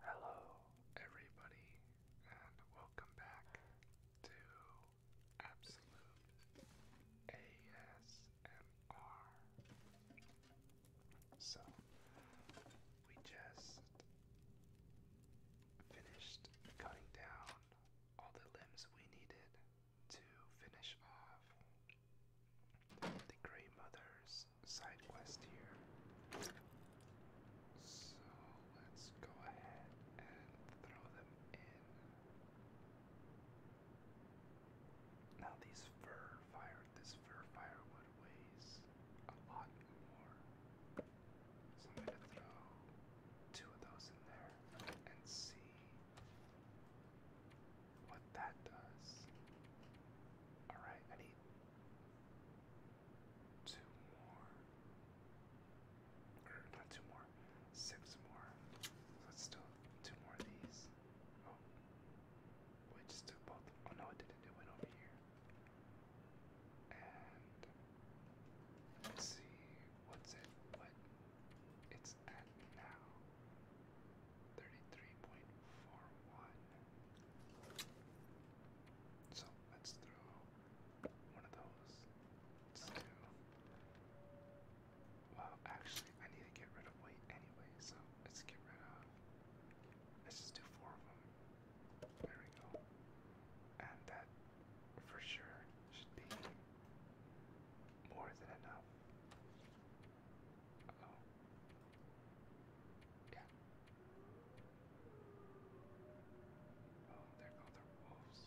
Hello, everybody, and welcome back to Absolute ASMR. So, we just finished cutting down all the limbs we needed to finish off the Grey side quest here. So let's go ahead and throw them in. Now these fur fire this fur firewood weighs a lot more. So I'm gonna throw two of those in there and see what that does. Alright, I need two more. Or not two more, six more. Let's do two more of these. Oh, we just took both. Oh no, it didn't. It went over here. And let's see what's it what it's at now. 33.41. So let's throw one of those. Let's do. Well, actually, I need to get rid of weight anyway, so let's get rid of. Let's just do four of them. There we go. And that for sure should be more than enough. Yeah. Oh, there go the wolves.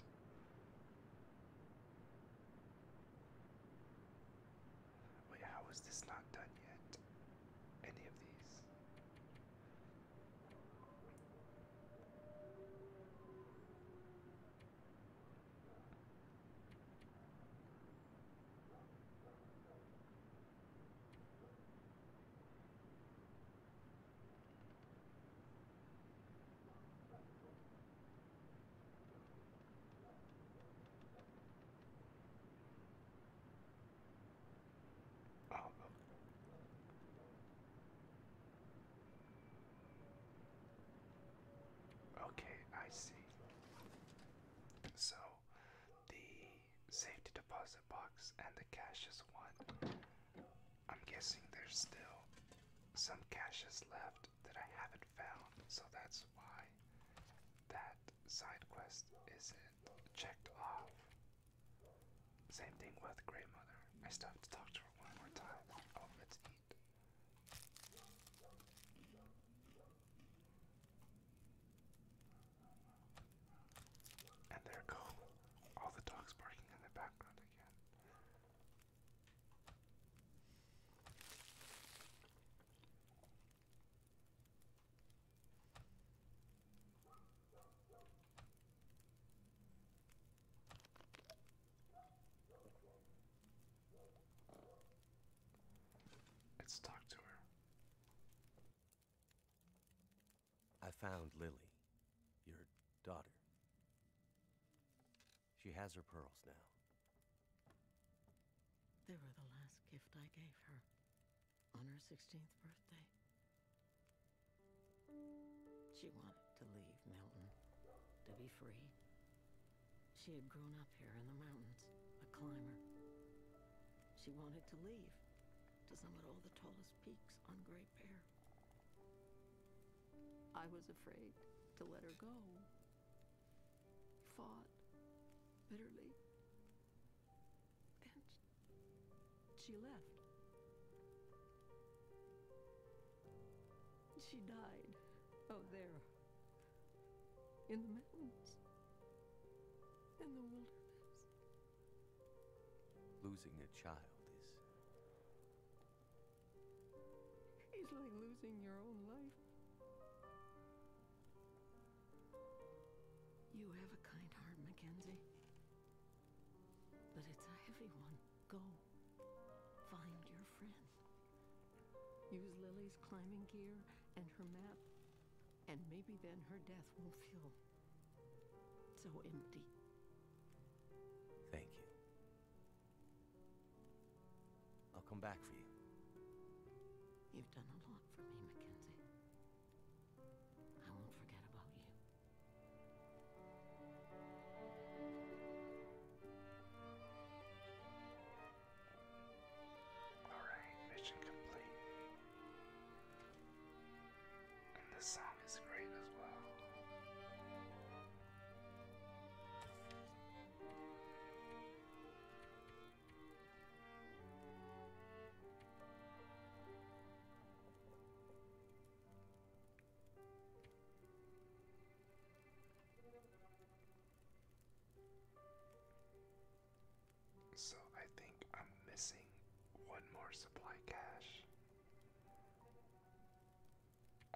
Wait, how is this not done yet? Any of these? Oh, look. Okay, I see. So the safety deposit box and the cash is one. I'm guessing there's still some caches left that I haven't found, so that's why that side quest isn't checked off. Same thing with Grey Mother. I still have to talk to her one more time. Oh, it's and there go all the dogs barking in the background again. Let's talk to her. I found Lily, your daughter. She has her pearls now. They were the last gift I gave her on her 16th birthday. She wanted to leave Milton, to be free, she had grown up here in the mountains, a climber. She wanted to leave to summit all the tallest peaks on Great Bear. I was afraid to let her go. Fought bitterly. And she left. She died out oh, there in the mountains, in the wilderness. Losing a child is. It's like losing your own life. You have a kind heart, Mackenzie. But it's a heavy one. Go. Find your friend. Use Lily's climbing gear and her map, and maybe then her death will feel so empty. Thank you. I'll come back for you. You've done a lot for me, Mackenzie. I won't forget about you. Alright, mission complete. And this song is great as well. So I think I'm missing one more supply cache.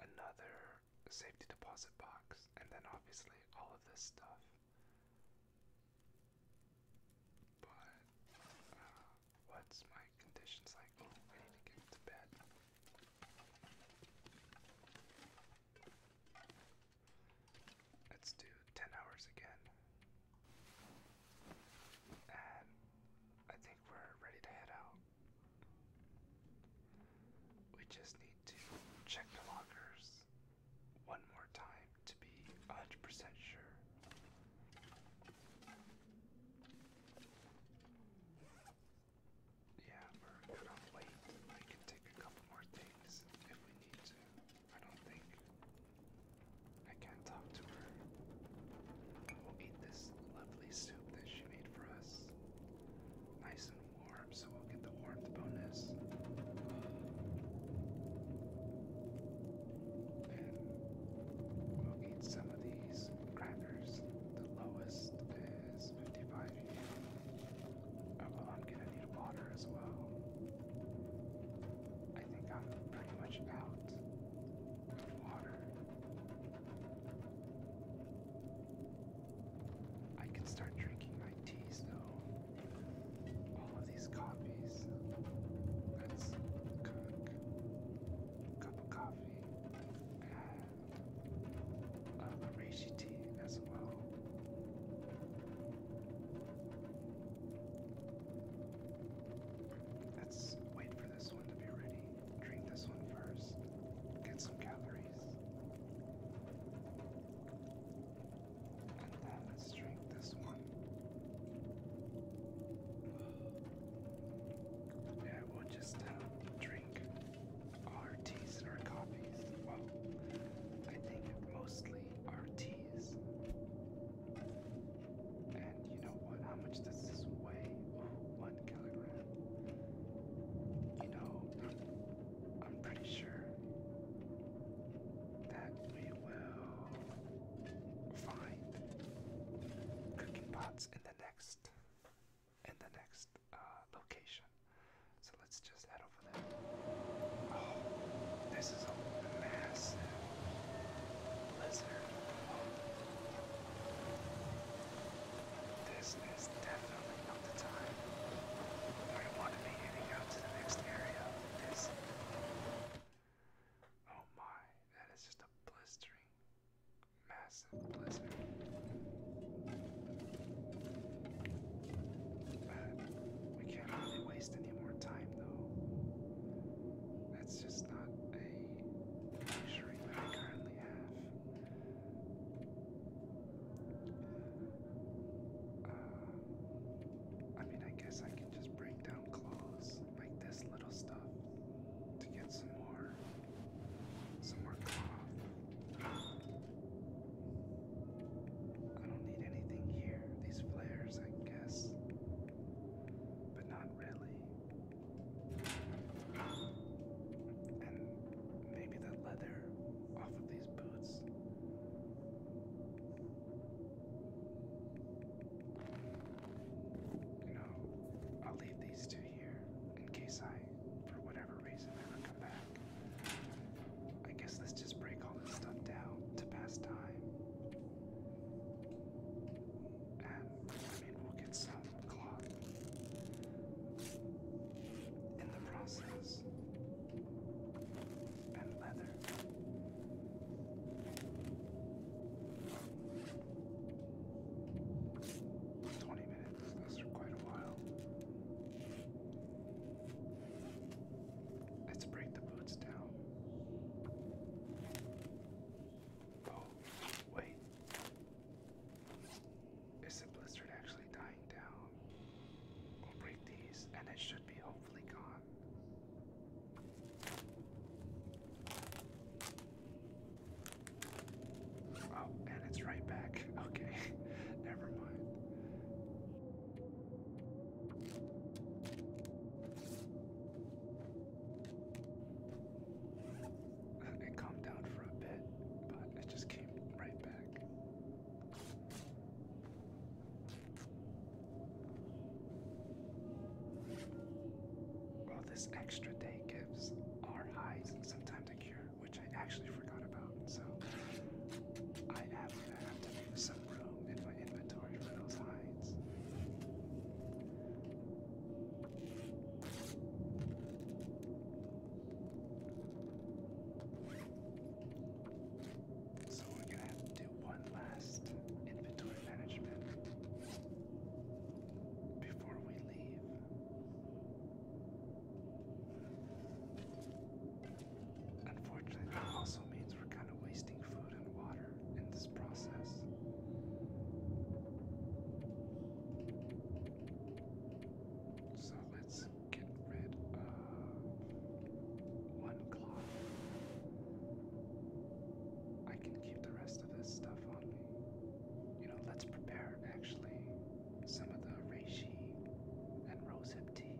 Another safety deposit box, and then obviously all of this stuff. But uh, what's my conditions like? Oh, I need to get to bed. Let's do 10 hours again. And I think we're ready to head out. We just need to check the lockers one more time to be 100% sure. Yeah, we're cut off late. I can take a couple more things if we need to. I don't think I can talk to her. We'll eat this lovely soup that she made for us. Nice and warm, so we'll get the warmth bonus. And we'll eat some of these crackers. The lowest is 55 Oh, well, I'm gonna need water as well. I think I'm pretty much out of water. I can start drinking my teas though. All of these coffees. Let's cook cup of coffee. A reishi tea as well. Let's wait for this one to be ready. Drink this one first. Get some calories. And then let's drink this one. Yeah, we'll just uh, drink our teas and Well, I think mostly Rts. And you know what? How much does this weigh? Oh, one kilogram. You know, I'm pretty sure that we will find cooking pots in the next in the next uh, location. So let's just head over there. Oh, this is a massive blizzard. This is definitely not the time where want to be heading out to the next area. Oh my, that is just a blistering massive blizzard. But we can't really waste any more time, though. That's just not a luxury that I currently have. Uh, I mean, I guess I can just break down clothes like this little stuff to get some more some more cloth. I don't need anything here. These flares, I guess. But not really. And maybe the leather off of these boots. You know, I'll leave these two here in case I, for whatever reason, ever come back. I guess let's just break all this stuff down to pass time. And I mean, we'll get some cloth in the process. And leather. Twenty minutes and for quite a while. Let's break the boots down. Oh, wait. Is the blizzard actually dying down? We'll break these and it should be hopefully gone. Oh, and it's right back. Okay, never mind. It calmed down for a bit, but it just came right back. Well, this extra day gives our highs sometimes a cure which I actually forgot about. So I have, I have to make some room in my inventory for those hides. So we're gonna have to do one last inventory management before we leave. Unfortunately, that also means we're kind of wasting food and water in this process. So let's get rid of one cloth. I can keep the rest of this stuff on me. You know, let's prepare actually some of the reishi and rosehip tea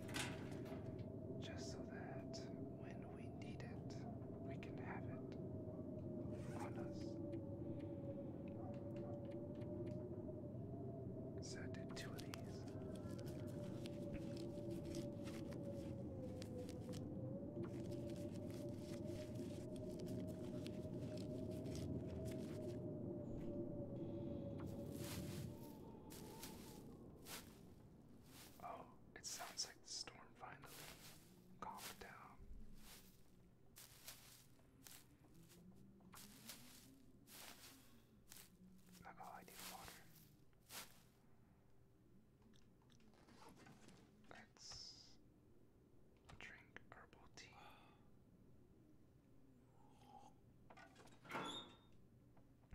just so that when we need it, we can have it on us. So I did two of these. Oh, it sounds like the storm finally calmed down. Not all I need water. Let's drink herbal tea.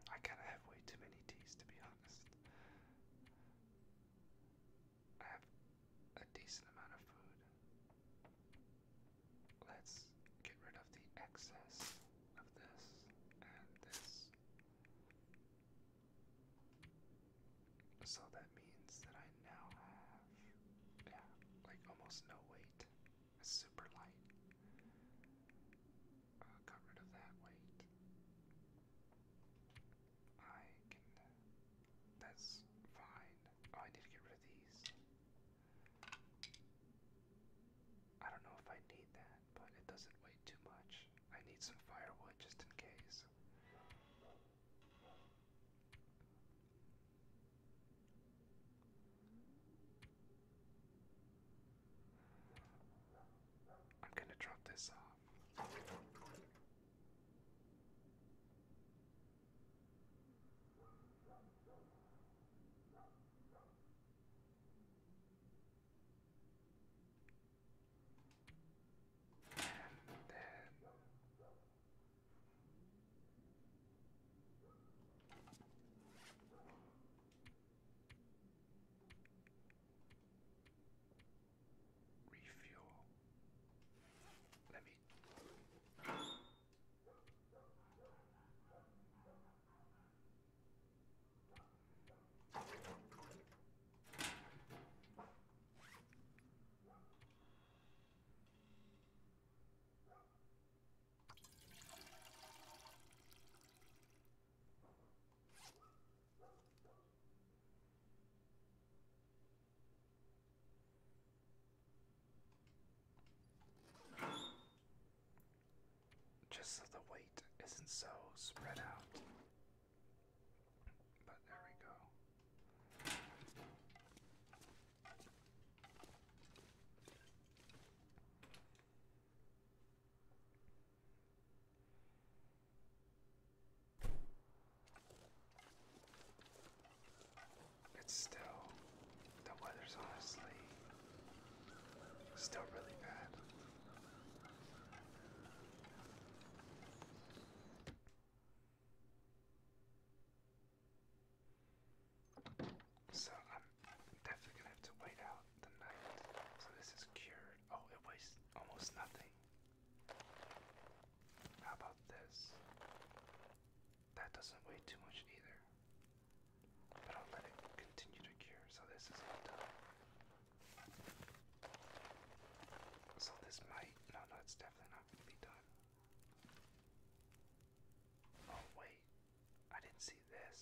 I kind of have way too many teas to be honest. I have a decent amount of food. Let's get rid of the excess of this and this. So that means that I now have yeah, like almost no weight. super light. Uh, got rid of that weight. I can. That's fine. Oh, I need to get rid of these. I don't know if I need that, but it doesn't weigh too much. I need some firewood just in case. I'm going to drop this off. And Refuel. Let me. Just so the weight isn't so spread out. But there we go. It's still, the weather's honestly still really bad. So I'm definitely gonna have to wait out the night. So this is cured. Oh, it weighs almost nothing. How about this? That doesn't weigh too much either. But I'll let it continue to cure, so this is all done. So this might, no, no, it's definitely not going to be done. Oh, wait. I didn't see this.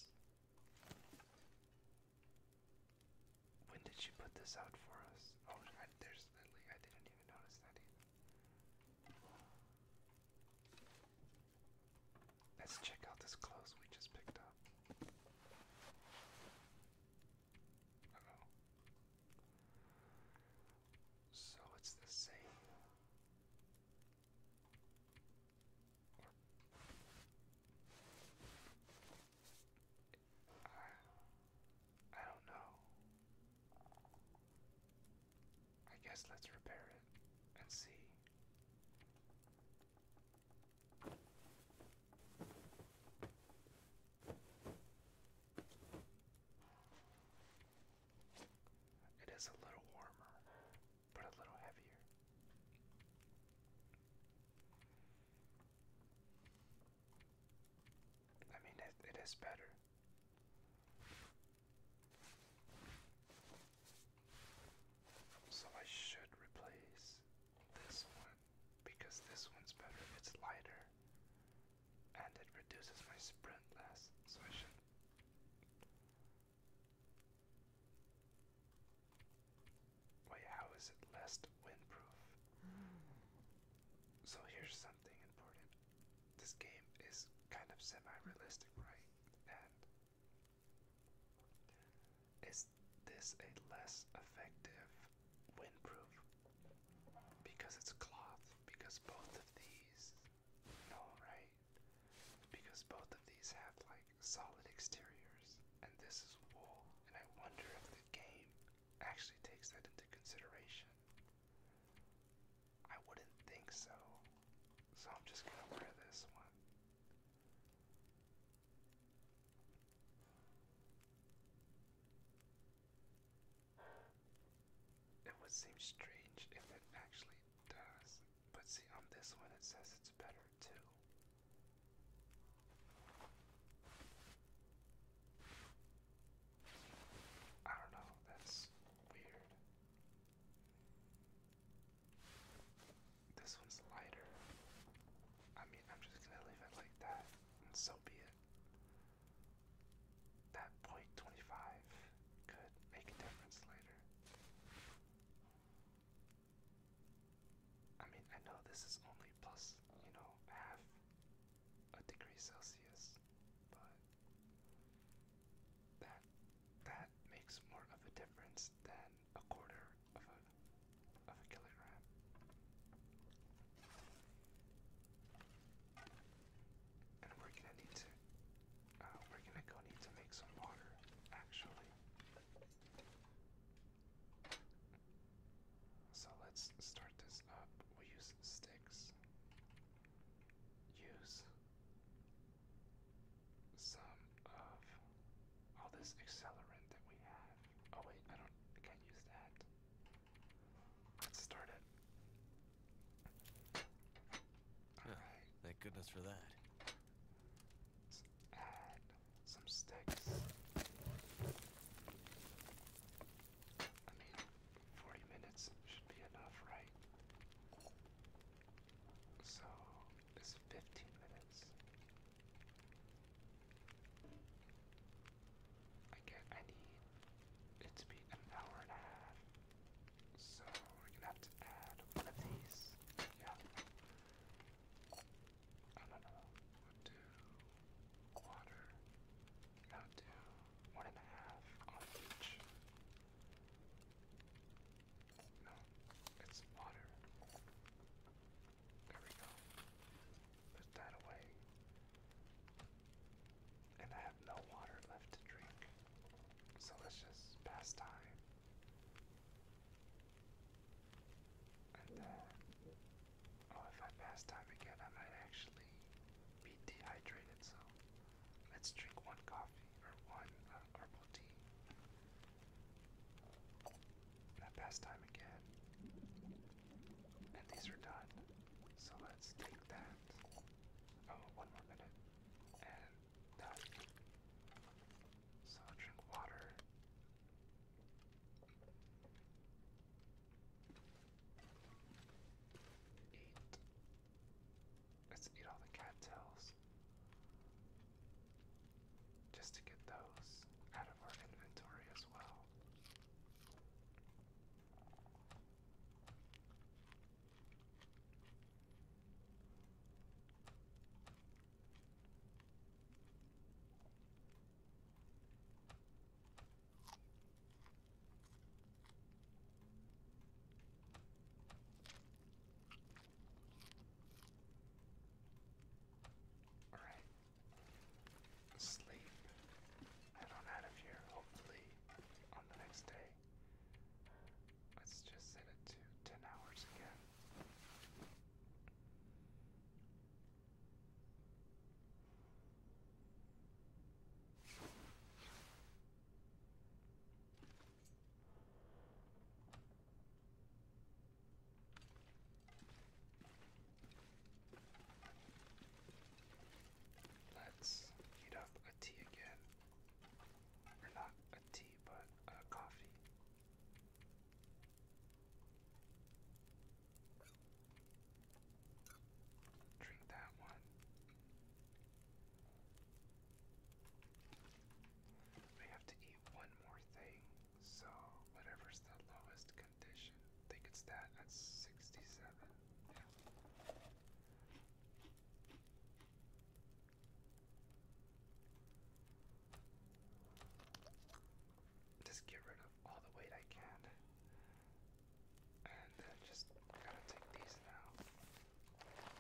When did she put this out for us? Oh, there's I didn't even notice that Let's check out this clothes we just picked up. So it's the same. I, I don't know. I guess let's repair it and see. It is a little warmer, but a little heavier. I mean, it, it is better. So I should replace this one because this one's better. It's lighter and it reduces my sprint less, so I should. Wait, how is it less windproof? So here's something important. This game is kind of semi-realistic, right? And is this a less effective windproof? Because it's cloth, because both of these no, Because both of these have like solid exteriors, and this is wool, and I wonder if the game actually takes that into consideration. I wouldn't think so, so I'm just gonna wear this one. It would seem strange if it actually does, but see on this one it says it's better too. I don't know, that's weird. This one's lighter. I mean, I'm just gonna leave it like that, so be it that point 25 could make a difference later. I mean, I know this is only plus, you know, half a degree Celsius, but that that makes more of a difference than a quarter of a of a kilogram. And we're gonna need to, uh, we're gonna go need to make some water, actually. So let's start this up. We will use sticks. Use some of all this accelerant that we have. Oh wait, I don't, I can't use that. Let's start it. yeah, Thank goodness for that. add some sticks. I mean, 40 minutes should be enough, right? So, it's 15 minutes. I get I need it to be an hour and a half so we're gonna have to add one of these. Yeah. I don't know. We'll do quarter. Now one and a half on each. No, it's water. There we go. Put that away and I have no water left to drink. So let's just pass time. And then, oh, if I pass time again, I might actually be dehydrated. So let's drink one coffee or one uh, herbal tea. And I pass time again. And these are done. So let's take that. Oh, one more minute. And done. Uh, so drink water. Eat. Let's eat all the cattails. Just to get those out of our inventory as well. All right. Sleep and on out of here, hopefully, on the next day. Let's just set it to 10 hours again. Let's heat up a tea again. Or not a tea, but a coffee. Drink that one. We have to eat one more thing, so whatever's the lowest condition, I think that at 67. Just get rid of all the weight I can. And then just gotta take these now.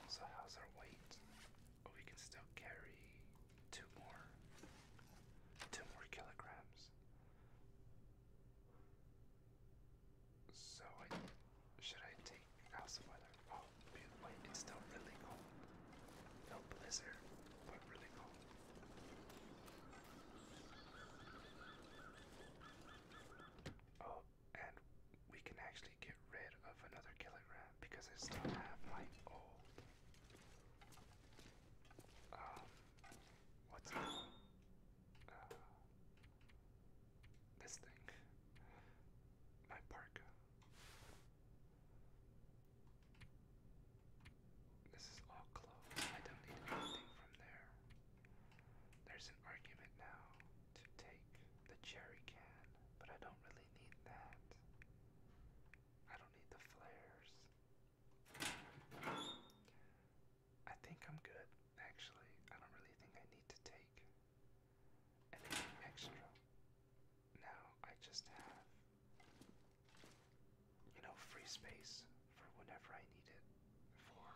So, how's our weight? Oh, we can still carry two more. Two more kilograms. So I should I take the house of weather? Oh, wait, it's still really cold. No blizzard, but really cold. Oh, and we can actually get rid of another kilogram because I still have my old um what's this thing. My parka. This is all closed. I don't need anything from there. There's an argument now to take the cherry can, but I don't really need that. I don't need the flares. I think I'm good, actually. I don't really think I need to take anything extra. Now I just have, you know, free space for whenever I need it, for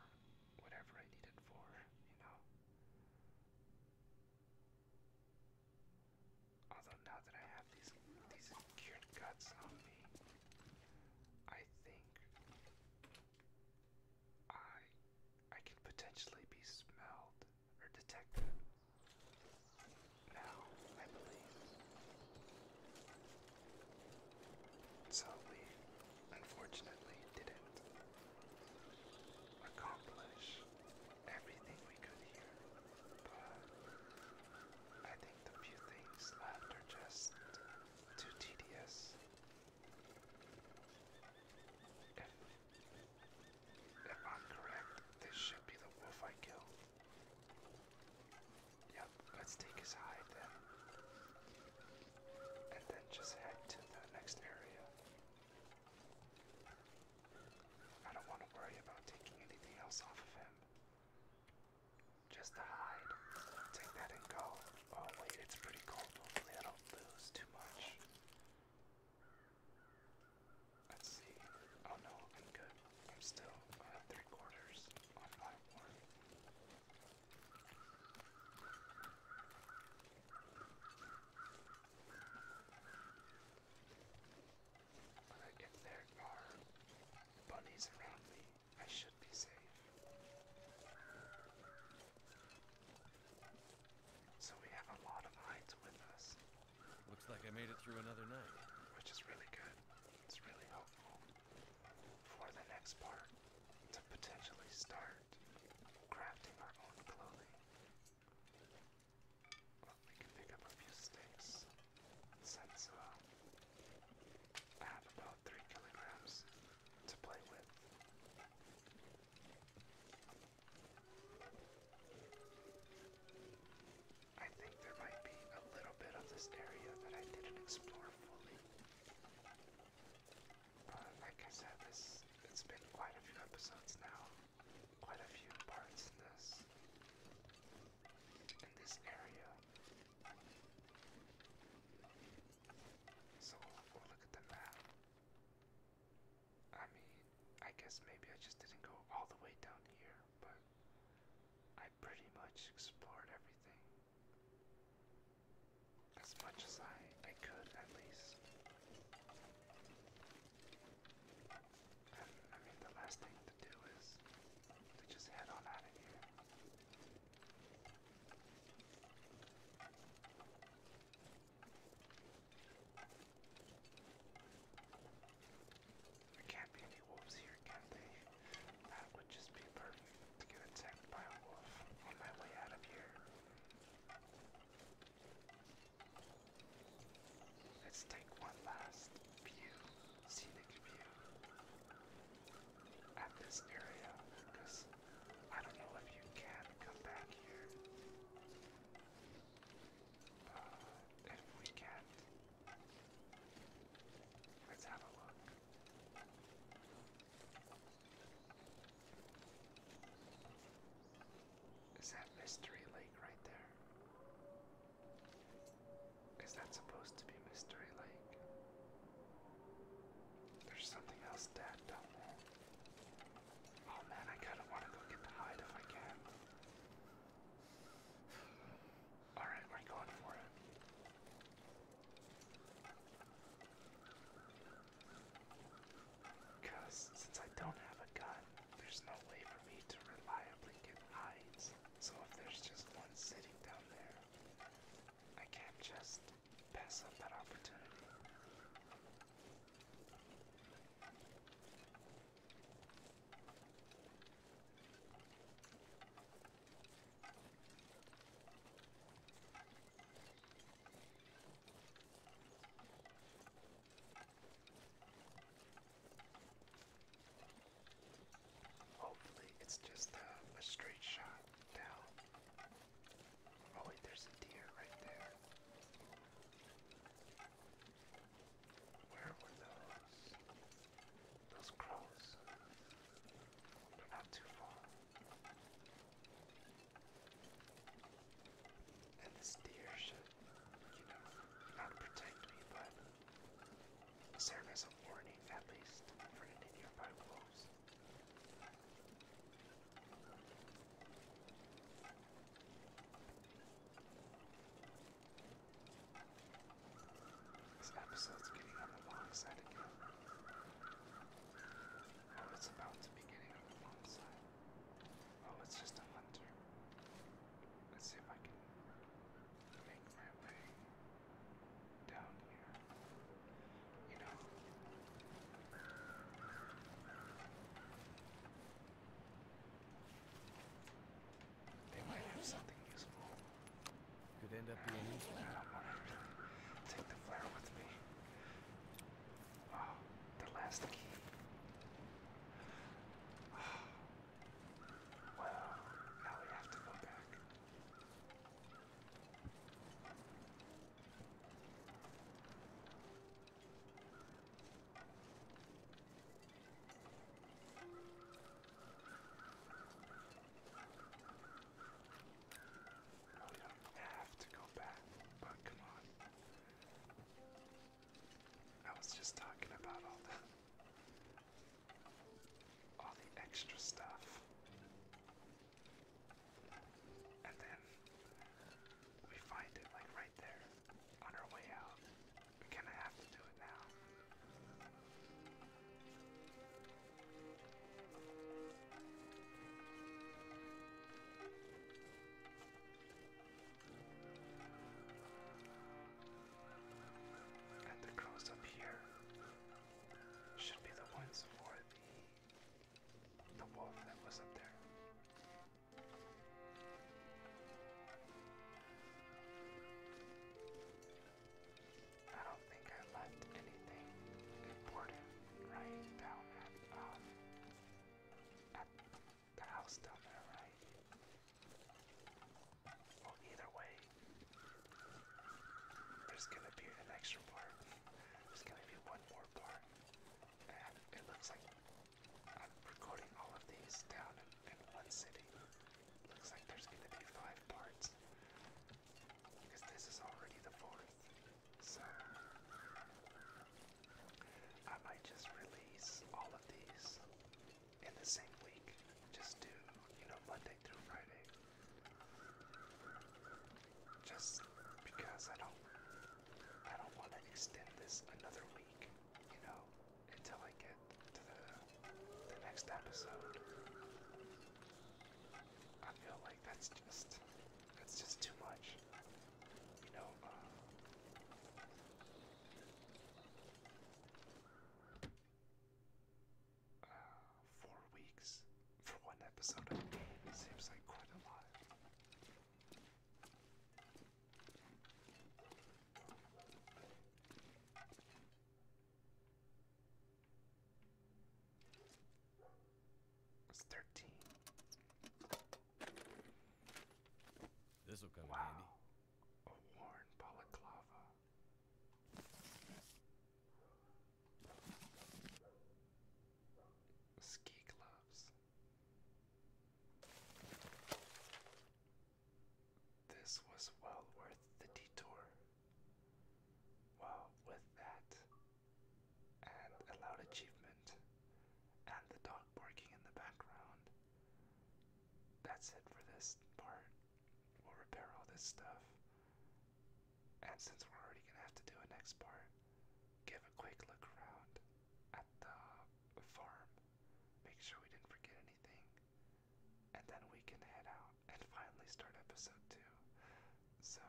whatever I need it for, you know. Although now that I have these these cured guts on me, I think I I can potentially be smelled or detected. Now, I believe. So we unfortunately didn't accomplish everything we could here, but I think the few things left are just too tedious if, I'm correct, this should be the wolf I killed. Yep, let's take his hide then. And then just head to the next area. I don't want to worry about taking anything else off of him just to hide. Take that and go. Oh wait, it's pretty cold. Hopefully I don't lose too much. Let's see. Oh no, I'm good. I'm still uh, three quarters on my one. But if there are bunnies around me, I should be safe. So we have a lot of hides with us. Looks like I made it through another night. Which is really good. It's really helpful for the next part to potentially start crafting our own clothing. we can pick up a few sticks since uh, I have about three kilograms to play with. I think there might be a little bit of this area that I didn't explore fully. But like I said, this it's been quite a few episodes now. Quite a few parts in this in this area. So look at the map. I mean, I guess maybe I just didn't go all the way down here, but I pretty much explored everything. As much as I, I could, at least. And I mean, the last thing to do is to just head on out of here. There can't be any wolves here, can they? That would just be perfect to get attacked by a wolf on my way out of here. Let's take one last view, scenic view, at this area, because I don't know if you can come back here. Uh, if we can let's have a look. Is that Mystery Lake right there? Is that supposed to be Mystery Lake? There's something else dead down there. Oh man, I kinda wanna go get the hide if I can. Alright, we're going for it. Because since I don't have a gun, there's no way for me to reliably get hides. So if there's just one sitting down there, I can't just pass up that opportunity. Hopefully, it's just a, straight shot down. Oh wait, there's a deer right there. Where were those? Those crows. not too far. And this deer should, you know, not protect me, but serve as a warning at least for any nearby wolves. This episode's getting on the long side again. Oh, it's about to be getting on the long side. Oh, it's just a hunter. Let's see if I can make my way down here. You know. They might have something useful. Could end up being useful. I don't want to really take the flare with me. Oh, the last key. Oh. Well, now we have to go back. We don't have to go back, but come on. I was just talking about all the all the extra stuff. And then we find it like right there on our way out. We kinda have to do it now. And the crows up here should be the ones for the the wolf that was up there. I don't think I left anything important right down at um, the house down there, right? Well, either way, there's gonna be an extra part. There's gonna be one more part. And it looks like I'm recording all of these down in, one city. Looks like there's gonna be five parts. Because this is already the fourth. So I might just release all of these in the same week. Just do, you know, Monday through Friday. Just because I don't I don't want to extend this another week, you know, until I get to the the next episode. I feel like that's just that's just too much. You know, uh four weeks for one episode. Seems like quite a lot. It's thirteen. This will come in handy. A worn balaclava. Ski gloves. This was well worth the detour. Well, with that, and a loud achievement, and the dog barking in the background, that's it for this part. We'll repair all this stuff, and since we're already gonna have to do a next part, give a quick look around at the farm, make sure we didn't forget anything, and then we can head out and finally start episode 2. So,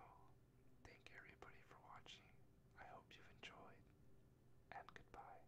thank everybody for watching. I hope you've enjoyed, and goodbye.